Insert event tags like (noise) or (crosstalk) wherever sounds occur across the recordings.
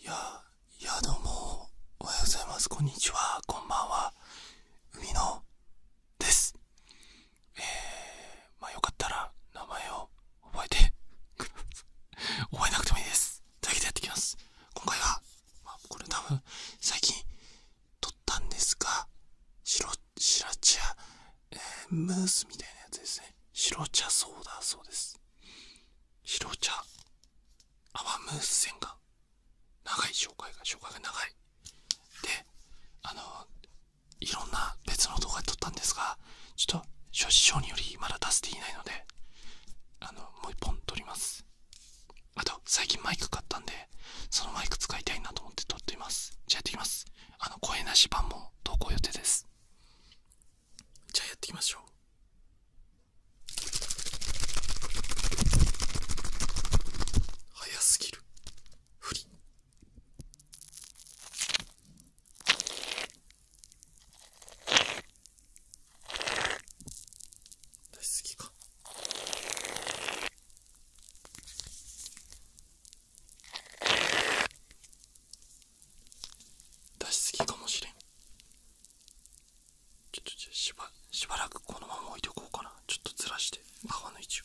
いや、いやどうも、おはようございます。こんにちは、こんばんは。海野です。えー、まあよかったら名前を覚えて (laughs) 覚えなくてもいいです。というわけでやっていきます。今回は、まこれ多分最近撮ったんですが、白、白茶、えー、ムースみたいなやつですね。白茶ソーダそうです。白茶泡ムース線が長い紹介が紹介が長いであのいろんな別の動画で撮ったんですがちょっと諸事情によりまだ出せていないのであのもう一本撮りますあと最近マイク買ったんでそのマイク使いたいなと思って撮っていますじゃあやっていきますあの声なし版も投稿予定ですじゃあやっていきましょう早すぎるふりし好ぎか出しすぎかもしれんちょっとじゃしばしばらくこのまま置いとこうかなちょっとずらして皮の位置を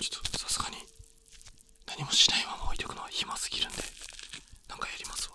ちょっとさすがに何もしないまま置いておくのは暇すぎるんで何かやりますわ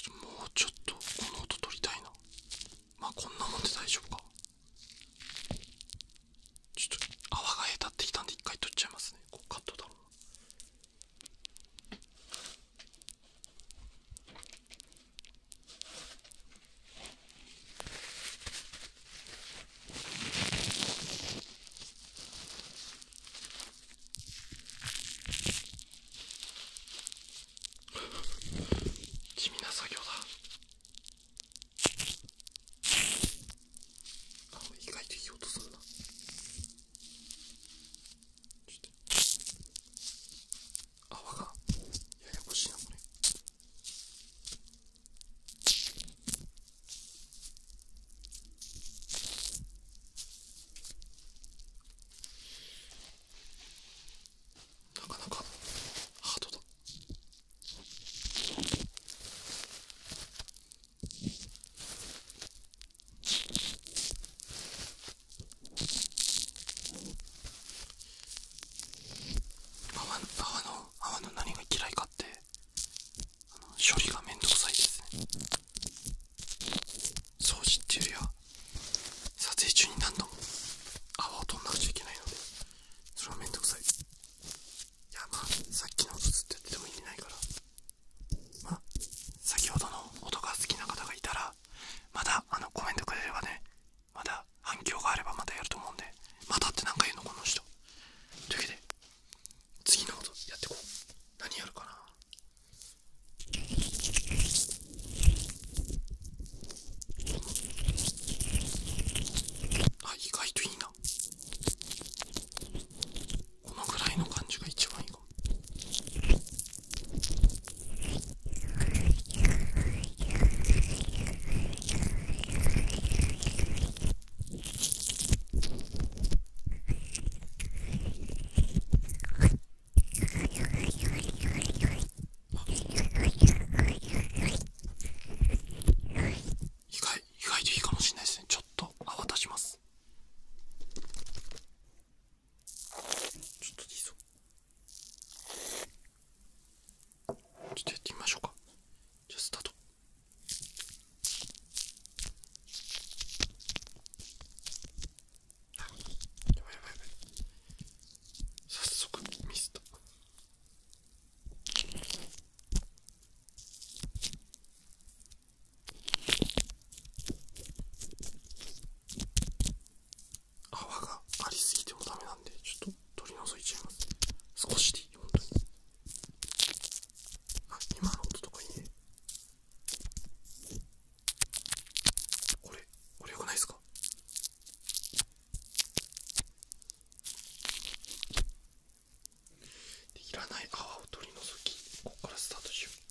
ちょっともうちょっとこの音取りたいなまあこんなもんで大丈夫かちょっと泡がへたってきたんで一回取っちゃいますねこうカットだろう地味な作業だあ意外といい音するな。泡がややこしいなこれなかなかハトだ泡の泡の泡の何が嫌いかって処理がめんどくさいですね掃除っていうよりは撮影中に何度も泡を取んなくちゃいけないのでそれはめんどくさいいやまあさっきの音ずっとやってても意味ないからまあ、先ほどの音が好きな方がいたらまだあのコメントくれればねまだ反響があればまたやると思うんでまたって何か言うのこの人というわけで次のことやってこう何やるかなあ意外といいなこのぐらいの感じが一番意外意外といいかもしれないですねちょっと泡立ちますちょっとでいいぞちょっとやってみましょうかじゃあスタートやばいやばいやばい早速ミスった泡がありすぎてもダメなんでちょっと取り除いちゃいます少しでいい本当にあ今の音とかいいねこれこれよくないですかいらない泡を取り除きここからスタートしよう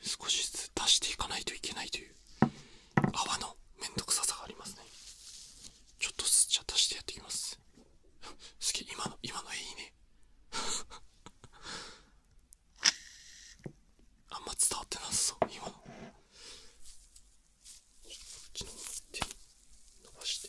少しずつ足していかないといけないという泡の面倒くささがありますねちょっとずつじゃ足してやっていきます好き、今の、今のいいね。(laughs) あんま伝わってなさそう、今の。ちょっとこっちの手伸ばして。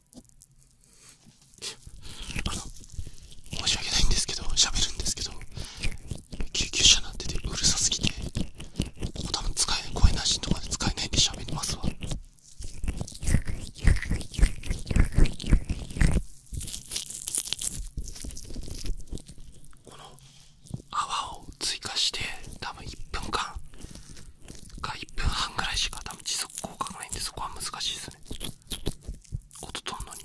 あの申し訳ないんですけど喋るんですけど救急車なんててうるさすぎてここ多分使え声なしとかで使えないんで喋りますわこの泡を追加して多分1分間か1分半ぐらいしか多分持効果がないんでそこは難しいですね音とんのに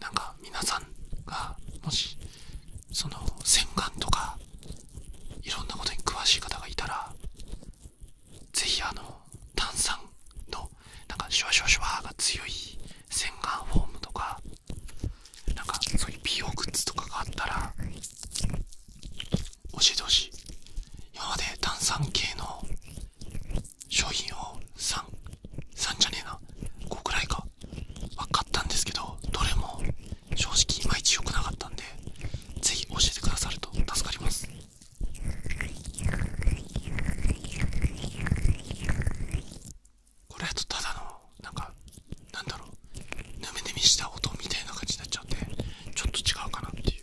なんか皆さんがもしその洗顔とかいろんなことに詳しい方がいたらぜひあの炭酸のなんかシュワシュワシュワが強い洗顔フォームとかなんかそういう美容グッズとかがあったら教えてほしい今まで炭酸系の商品を 3, 3じゃねえな5くらいか分かったんですけどどれも正直いまいち良くなかったんでぜひ教えてくださると助かりますこれだとただのなんかなんだろうぬめぬめした音みたいな感じになっちゃうんでちょっと違うかなっていう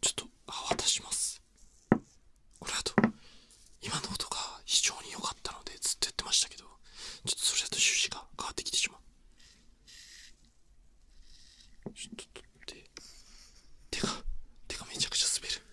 ちょっと泡出しますこれあと今の音が非常に良かったのでずっとやってましたけどちょっとそれだと趣旨が変わってきてしまうちょっと取って手が手がめちゃくちゃ滑る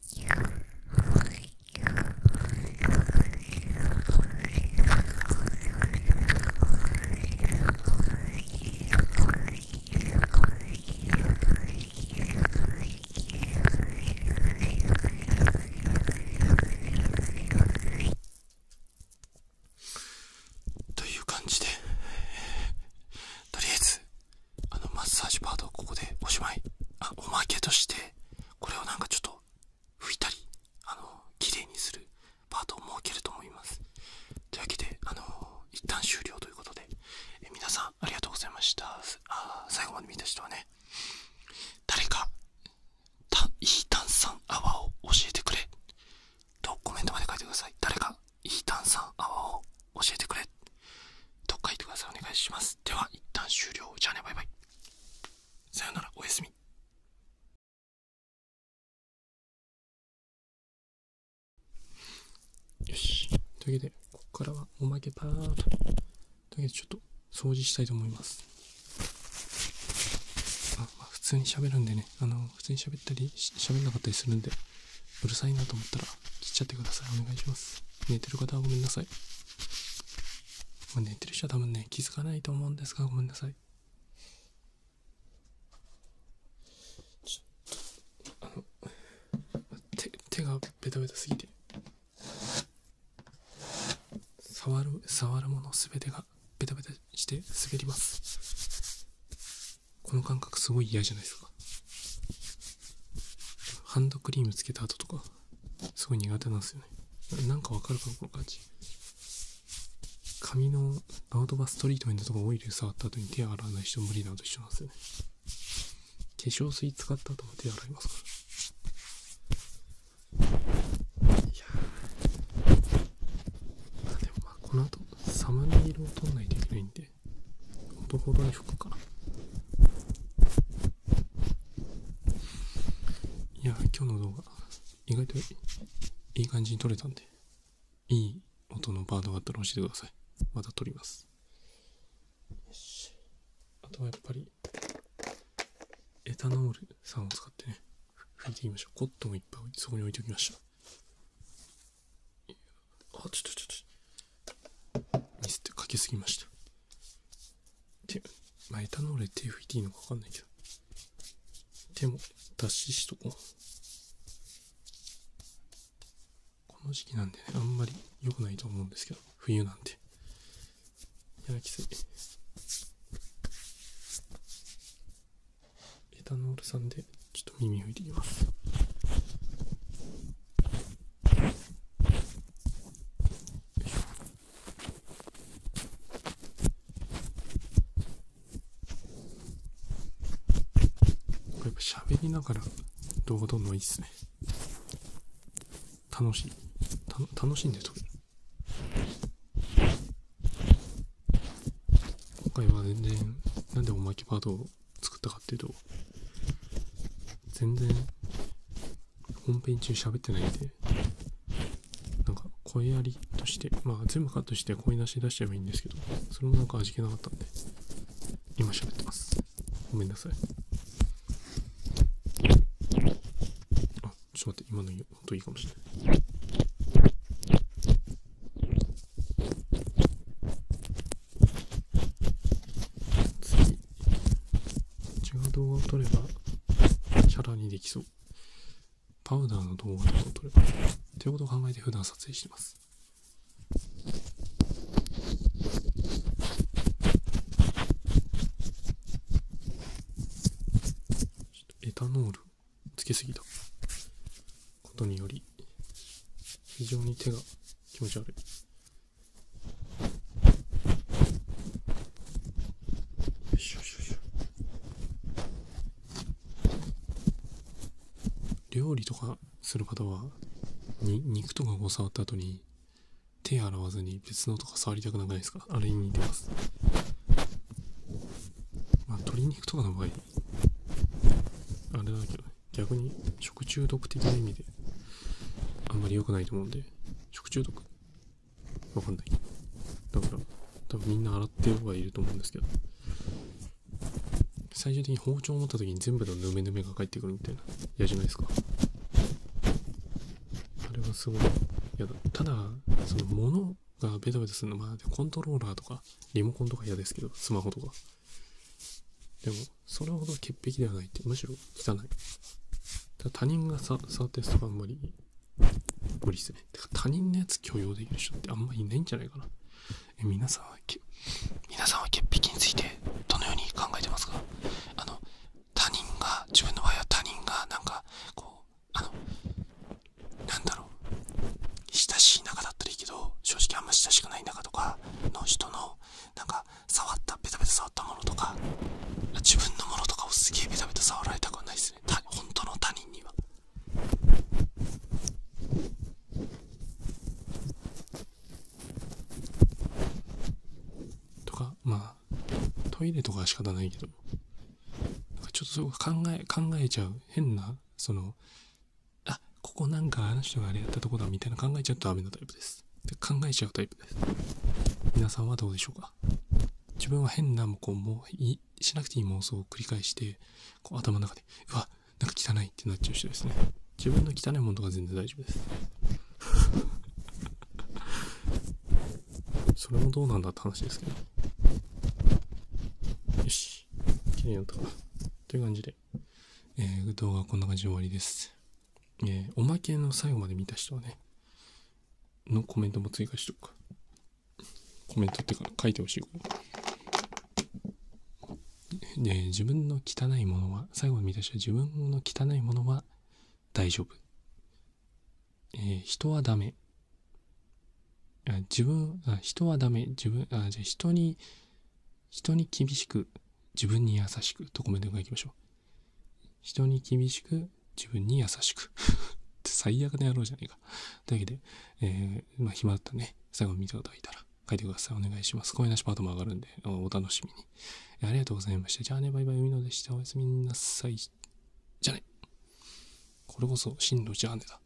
という感じで、とりあえずあのマッサージパートをここでおしまいあおまけとしてこれをなんかちょっと拭いたりあの綺麗にするパートを設けると思いますというわけであの一旦終了ということでえ皆さんありがとうございましたあ最後まで見た人はね誰かたいい炭酸泡を教えてくれとコメントまで書いてください誰かいい炭酸泡を教えてくれどっか行ってくださいお願いしますでは一旦終了じゃあねバイバイさよならおやすみよしというわけでここからはおまけパートというわけでちょっと掃除したいと思いますあ、まあ、普通に喋るんでねあの普通に喋ったり喋んなかったりするんでうるさいなと思ったら切っちゃってくださいお願いします寝てる方はごめんなさい、ま寝てる人は多分ね気づかないと思うんですがごめんなさいちょっとあの手手がベタベタすぎて触る触るもの全てがベタベタして滑りますこの感覚すごい嫌じゃないですかハンドクリームつけた後とかすごい苦手なんですよねなんかわかるかなこの感じ髪のアウトバストリートメントとかオイル触った後に手洗わない人無理なのと一緒なんですよね化粧水使った後も手洗いますからこの後サムネイルを撮んないといけないんでてほどほどに吹かないや今日の動画意外といい感じに撮れたんでいい音のバードがあったら教えてくださいまた撮りますあとはやっぱりエタノールさんを使ってね拭いていきましょうコットンもいっぱいそこに置いておきましたあ、ちょっとちょっと。ミスってかけすぎました。て、まあ、エタノール手拭いていいのかわかんないけど。でも脱脂しとこう。この時期なんでね、あんまり良くないと思うんですけど、冬なんで。いや、きつい。エタノールさんでちょっと耳拭いていきますやっぱ喋りながら動画撮るのいいっすね楽しい楽しんで撮る今回は全然なんでおまけパートを作ったかっていうと全然本編中喋ってないんでなんか声ありとしてまあ全部カットして声出し出しちゃえばいいんですけどそれもなんか味気なかったんで今喋ってますごめんなさいあちょっと待って今の音いいかもしれない次違う動画を撮ればチャラにできそうパウダーの動画とかを撮ればっていうことを考えて普段撮影してますエタノールつけすぎたことにより非常に手が気持ち悪い料理とかする方はに肉とかを触った後に手洗わずに別のとか触りたくなくないですかあれに似てます、まあ、鶏肉とかの場合あれだけど、逆に食中毒的な意味であんまり良くないと思うんで食中毒わかんないだから多分みんな洗ってる方がいると思うんですけど最終的に包丁を持った時に全部のヌメヌメが返ってくるみたいな嫌じゃないですかあれはすごい嫌だただその物がベタベタするのまあコントローラーとかリモコンとか嫌ですけどスマホとかでもそれほど潔癖ではないってむしろ汚い他人がさ触て、そこはあんまり無理ですねてか他人のやつ許容できる人ってあんまりいないんじゃないかなえ皆さんは皆さんは潔癖についてどのように考えてますかあの他人が自分の場合は他人がなんかこうあのなんだろう親しい仲だったらいいけど正直あんま親しくない仲とかの人のなんか触ったベタベタ触ったものとか自分のものとかをすげえベタベタ触られたくないですね本当の他人には。とかまあトイレとかは仕方ないけどなんかちょっとすごく考え考えちゃう変なそのあ、ここなんかあの人があれやったとこだみたいな考えちゃうとダメなタイプです。考えちゃうタイプです。皆さんはどうでしょうか自分は変なこうもういしなくていい妄想を繰り返して頭の中でうわなんか汚いってなっちゃう人ですね自分の汚いものとか全然大丈夫です (laughs) それもどうなんだって話ですけどよし綺麗になったかなという感じでえー、動画こんな感じで終わりです。えおまけの最後まで見た人はね、のコメントも追加しとくコメントってか書いてほしいこと。で、自分の汚いものは、最後に見た人は自分の汚いものは大丈夫。え人はダメ。あ自分あ、人はダメ。自分、あ、じゃ人に人に厳しく、自分に優しくとコメントがいきましょう。人に厳しく、自分に優しく。(laughs) 最悪な野郎じゃないか。というわけで、えー、まあ、暇だったね。最後に見ただいたら書いてください。お願いします。声なしパートも上がるんで、お楽しみに。ありがとうございました。じゃあね、バイバイ、海野でした。おやすみなさい。じゃあね。これこそ、進路じゃあねだ。